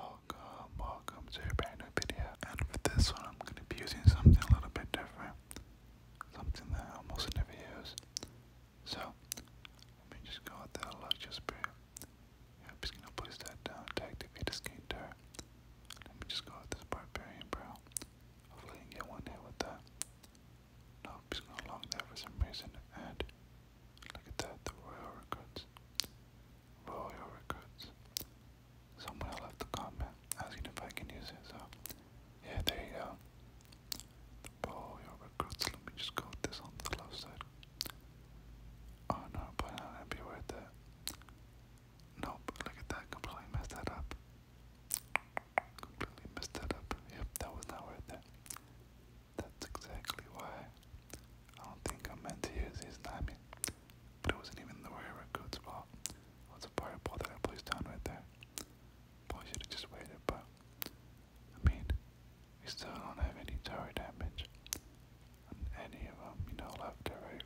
Welcome, welcome to a brand new video, and with this one I'm going to be using something a little bit different, something that I almost never use. So, let me just go with that luxurious brew. Yeah, just going to place that down to activate the skater. Let me just go with this barbarian brew. Hopefully I get one hit with that. No, just going to log that for some reason, and look at that, the royal records roll records. Someone left a comment asking if I can use it, so yeah, there you go. Roll records. Let me just go this on the left side. Oh no, but not going Nope, look at that, completely messed that up. Completely messed that up. Yep, that was not worth it. That's exactly why I don't think I meant to use his name, but it wasn't even the way a good spot. It a pirate ball that I placed down right there. Probably should have just waited, but I mean, we still don't have any tower damage and any of them, you know, left or right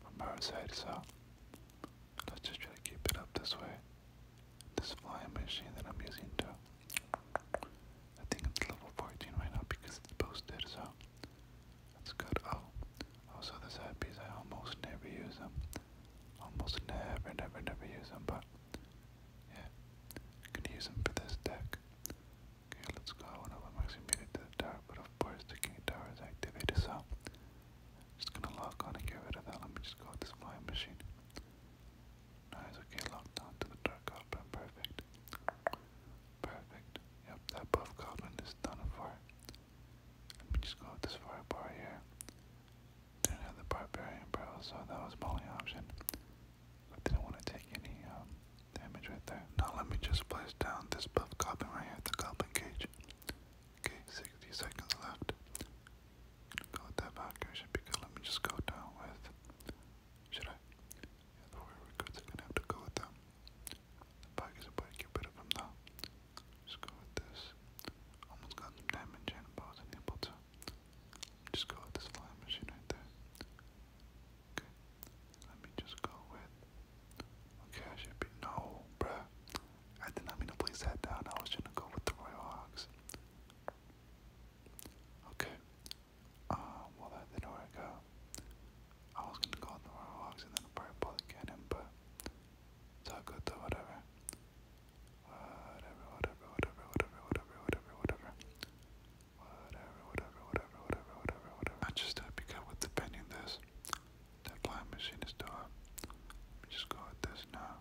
from our side, so let's just try to keep it up this way. This flying machine that I'm using too. I think it's level 14 right now because it's boosted, so that's good. Oh, also the side I almost never use them. Almost never, never, never use them, but yeah, I can use them for this deck. Okay, let's go. I wonder if I'm to the tower, but of course the king tower is activated, so just gonna lock on and get rid of that. Let me just go with this flying machine. Nice, okay, locked on to the Dark Goblin, perfect. Perfect. Yep, that buff goblin is done for. Let me just go with this firebar here. Didn't have the barbarian bro, so that was my only option. didn't want to take any um, damage right there. Now let me just place down this buff goblin right here, the goblin cage. Okay, 60 seconds left. Go with that Valkyrie, should Let me just go down with should I? Yeah, the warrior goods are gonna have to go with them. The bike is get rid of now. Just go with this. Almost got some damage and but I was unable to. Just go with this flying machine right there. Okay. Let me just go with. Okay, I should be. No, bruh. I did not mean to place that down. I was trying to go with the Royal Hawks. Okay. Uh, well, that didn't work out. I was gonna go on the Warhawks and then probably pull the cannon, but it's all good though, whatever. Whatever, whatever, whatever, whatever, whatever, whatever, whatever. Whatever, whatever, whatever, whatever, whatever, whatever. I just happy got with defending this. That blind machine is done. Let me just go with this now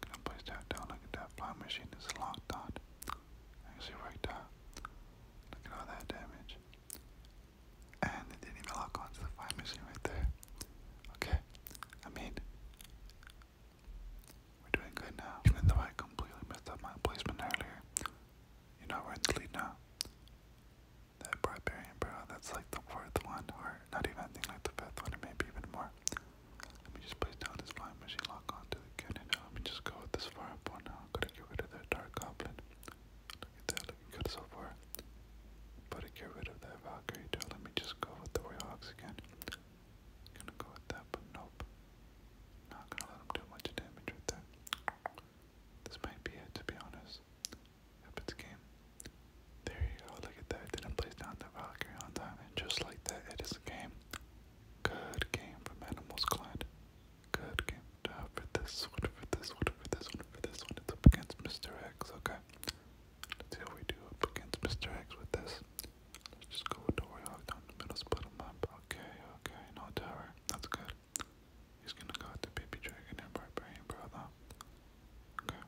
gonna place that down. Look at that flying machine. It's locked on. I can see right there. Look at all that damage. And it didn't even lock onto the flying machine right there. Okay. I mean, we're doing good now. Even though I completely messed up my placement earlier. You know, we're in the lead now. That barbarian barrel, that's like the fourth one, or not even, I think like the fifth one, or maybe even more. Let me just place down this flying machine lock onto the cannon. Now let me just go with this fireball now. I'm gonna get rid of that dark goblin. Look at that, looking good so far. But to get rid of that Valkyrie let me just go with the Royal Hawks again. Gonna go with that, but nope. Not gonna let him do much damage with that. This might be it, to be honest. If it's game. There you go, look at that. Didn't place down the Valkyrie on time, and just like that, it is a game. Good game from Animals Clan. Good game. Uh, for this one, for this one, for this one, for this one. It's up against Mr. X, okay? Let's see how we do up against Mr. X with this. Let's just go with the Warhawk down the middle, split him up. Okay, okay, no tower. That's good. He's gonna go with the Baby Dragon and Barbarian Brawler. Okay.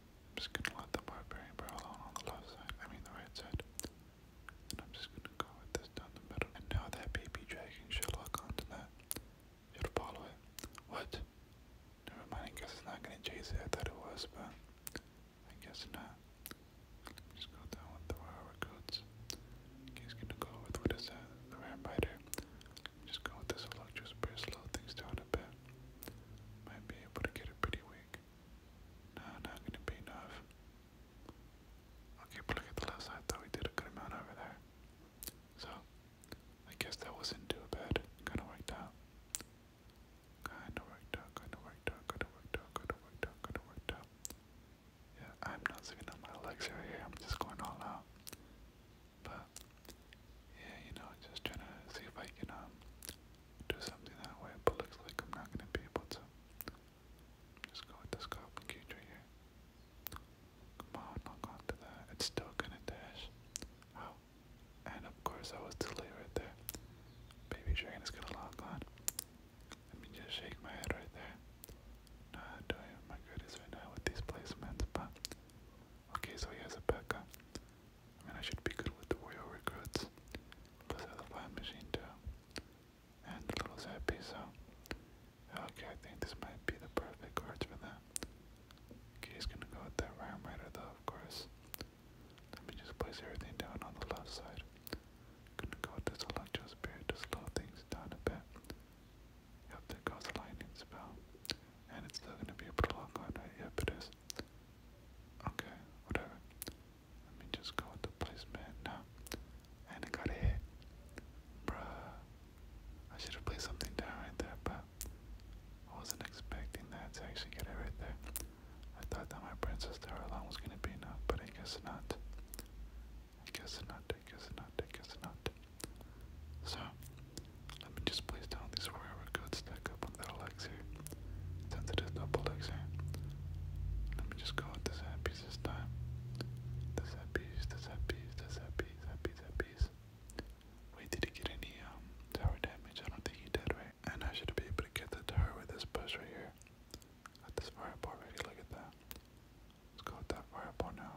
I'm just gonna let the barbarian bear on on the left side, I mean the right side. I'm just gonna go with this down the middle. And now that baby dragon should lock onto that. Should follow it. What? Never mind, I guess it's not gonna chase it. I thought it was, but I guess not. just go down with the royal recruits. He's gonna go with what is that? The vampire. Just go with this electric spray, slow things down a bit. Might be able to get it pretty weak. No, not gonna be enough. I'll keep at the left side, though. We did a good amount over there. So, I guess that wasn't too bad. Kinda worked out. Kinda worked out, kinda worked out, kinda worked out, kinda worked out, Yeah, I'm not sitting on my legs right here. I'm just going all out. But yeah, you know, just trying to see if I can um, do something that way, but looks like I'm not gonna be able to. Just go with the scorpion here. Come on, knock onto that. It's still gonna dash. Oh, and of course I was too late right there. Baby dragon is gonna lock on. Let me just shake my head right there. Not doing my greatest right now with these placements, but okay, so he a Pekka. I mean, I should be good with the warrior recruits. Plus, I have a fire machine too. And a little zappy, so. Okay, I think this might be the perfect cards for that. he's gonna go with that Ram Rider though, of course. Let me just place everything down on the left side. Gonna go with this Electro Spirit to slow things down a bit. Yep, there goes the lightning spell. And it's still gonna be able to right? Yep, it is. Okay, whatever. Let me just go with the placement now. And it got hit. Bruh. I should have played something down right there, but I wasn't expecting that to actually get it right there. I thought that my Princess Tower alone was gonna be enough, but I guess not. I guess not, I guess not, I guess not. So, let me just place down these railroad goods stack up on that elixir, since it is double elixir. Let me just go with this head piece this time. This head piece, this head piece, this head piece, that piece, that piece. Wait, did he get any um, tower damage? I don't think he did, right? And I should be able to get the tower with this push right here. Got this fireball ready, look at that. Let's go with that fireball now.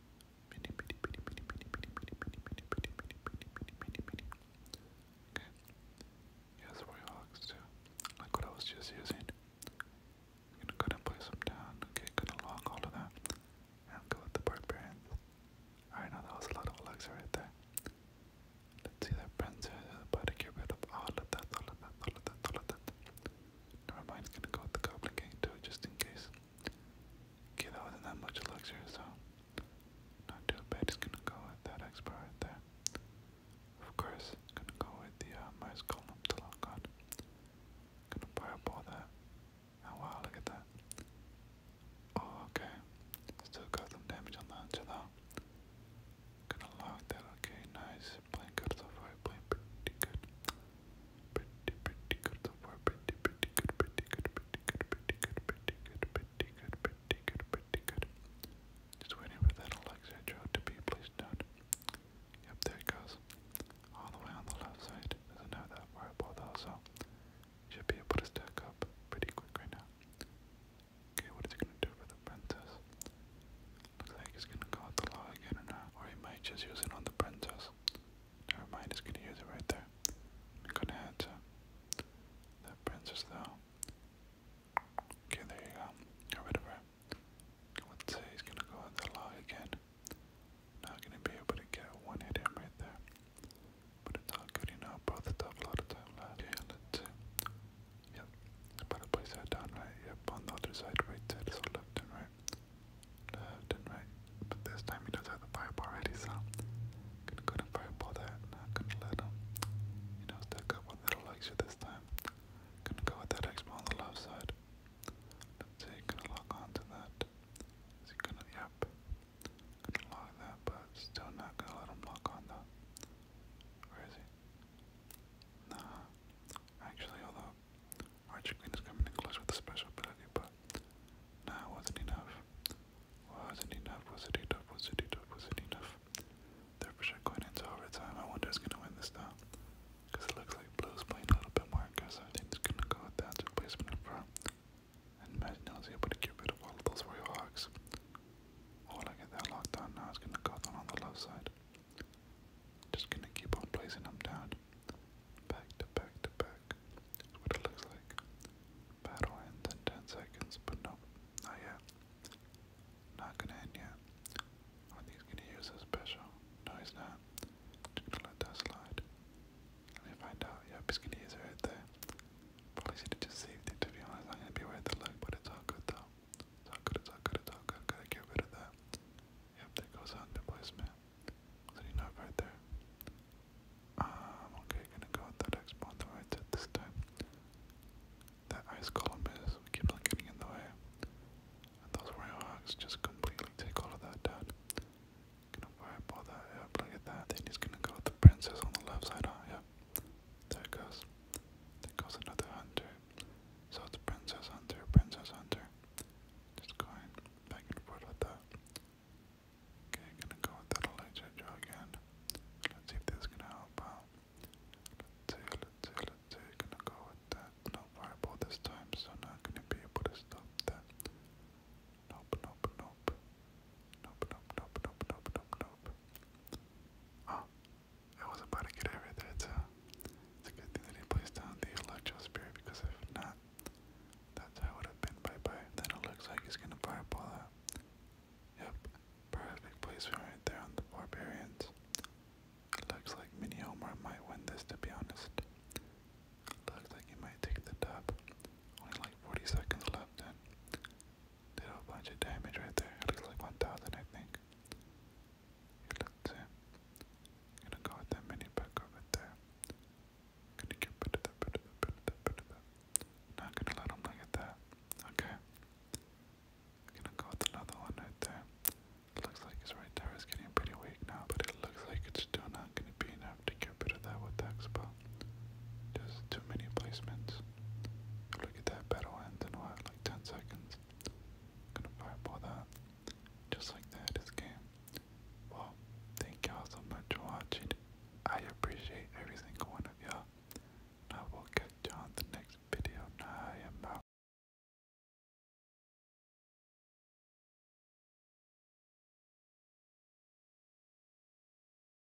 Okay. Yeah, that's where it looks too. what I was just using. gonna cut and place them down. Okay, gonna lock all of that. And go with the barbarians. Alright, now that was a lot of legs right there. Let's see that princess about to get rid of all of that, all of that, all of that, all of that. Never mind, gonna go with the Goblin King too, just in case. Okay, that wasn't that much elixir, so not too bad. Just gonna go with that expert there. Of course, gonna go with the uh, mice column to lock on. Gonna fireball that. Oh, wow, look at that. Oh, okay. Still got some damage on the hunter though. Gonna lock that, okay, nice. Playing good so far, pretty good. Pretty, pretty Just waiting for that Alexa Joe to be placed down. Yep, there it goes. All the way on the left side. Doesn't have that fireball though, so should be able to stack up pretty quick right now. Okay, what is it gonna do for the princess? Looks like he's gonna call out the law again or not. Or he might just use it on the princess. Never mind, he's gonna use it right there. gonna head to that princess though. Okay, there you go. Got rid of her. Let's say he's gonna go out the law again. Not gonna be able to get one hit him right there. But it's all good, you know, bro. That's a lot of time left. Okay, Yep. But place that down right. Yep. On the other side, right side. So left and right. Left and right. But this time he does have the fireball already, so gonna go to fireball that. Not gonna let him. You know, stick up with little extra this time. Gonna go with that expo on the left side. see, gonna lock onto that. Is yep. Gonna lock that, but still not gonna let him lock on Where is he? Nah. Actually, although Archer Queen is coming in clutch with a special ability, but no, wasn't enough. Wasn't enough, was it enough, was it enough, was it enough? They're for sure into overtime. I wonder who's gonna win this now. Because it looks like Blue's playing a little bit more aggressive. I think it's gonna go with that replacement in front. And Maginot is able to get rid of all of those Royal Hawks. Oh, look at that locked on now. It's gonna go on the left side. Just gonna keep on placing them down. Back to back to back. That's what it looks like. Battle ends in 10 seconds, but no, not yet. Not gonna end yet. I think he's gonna use his special. No, he's not. Just gonna let that slide. Let me find out. Yep, he's gonna use right there. Probably should have just saved it to be honest. I'm gonna be right to look, but it's all good though. It's all good, it's all good, it's all good. Gotta get rid of that. Yep, that goes on the placement. So you know right there. Um, okay, gonna go with that expo on the right at this time. That ice column is, we keep on getting in the way. And those warhogs just completely take all of that down. Gonna fireball that, yep, look at that. Then he's gonna go with the princess on the left side, Yep. There goes. There goes another hunter. So it's Princess Hunter, Princess Hunter. Just going back and forth with that. Okay, gonna go with that Elijah Joe again. Let's see if this gonna help out. Let's see, let's see, let's see. Gonna go with that. No fireball this time, so not gonna be able to stop that. Nope, nope, nope. Nope, nope, nope, nope, nope, nope, ah, I was about to get over there It's a good thing that he placed down the Electro Spirit because if not, that's how it would have been bye-bye. Then it looks like he's gonna fireball out. Yep, perfect placement right there on the Barbarians. Looks like Mini Omar might win this to be honest. Looks like he might take the top. Only like 40 seconds left then. Did a bunch of damage right there. looks like 1,000, I think. Here, let's gonna go with that mini back over there. Gonna get rid of that, bit of that, bit of that, bit of that. Not gonna let him look at that. Okay. gonna go with another one right there. looks like his right tower is getting pretty weak now, but it looks like it's still not gonna be enough to get rid of that with that expo. Just too many placements. Look at that battle ends in like 10 seconds. Gonna fireball that. Just like that, this game. Well, thank y'all so much for watching. I appreciate every single one of y'all. I will catch you on the next video. I am out.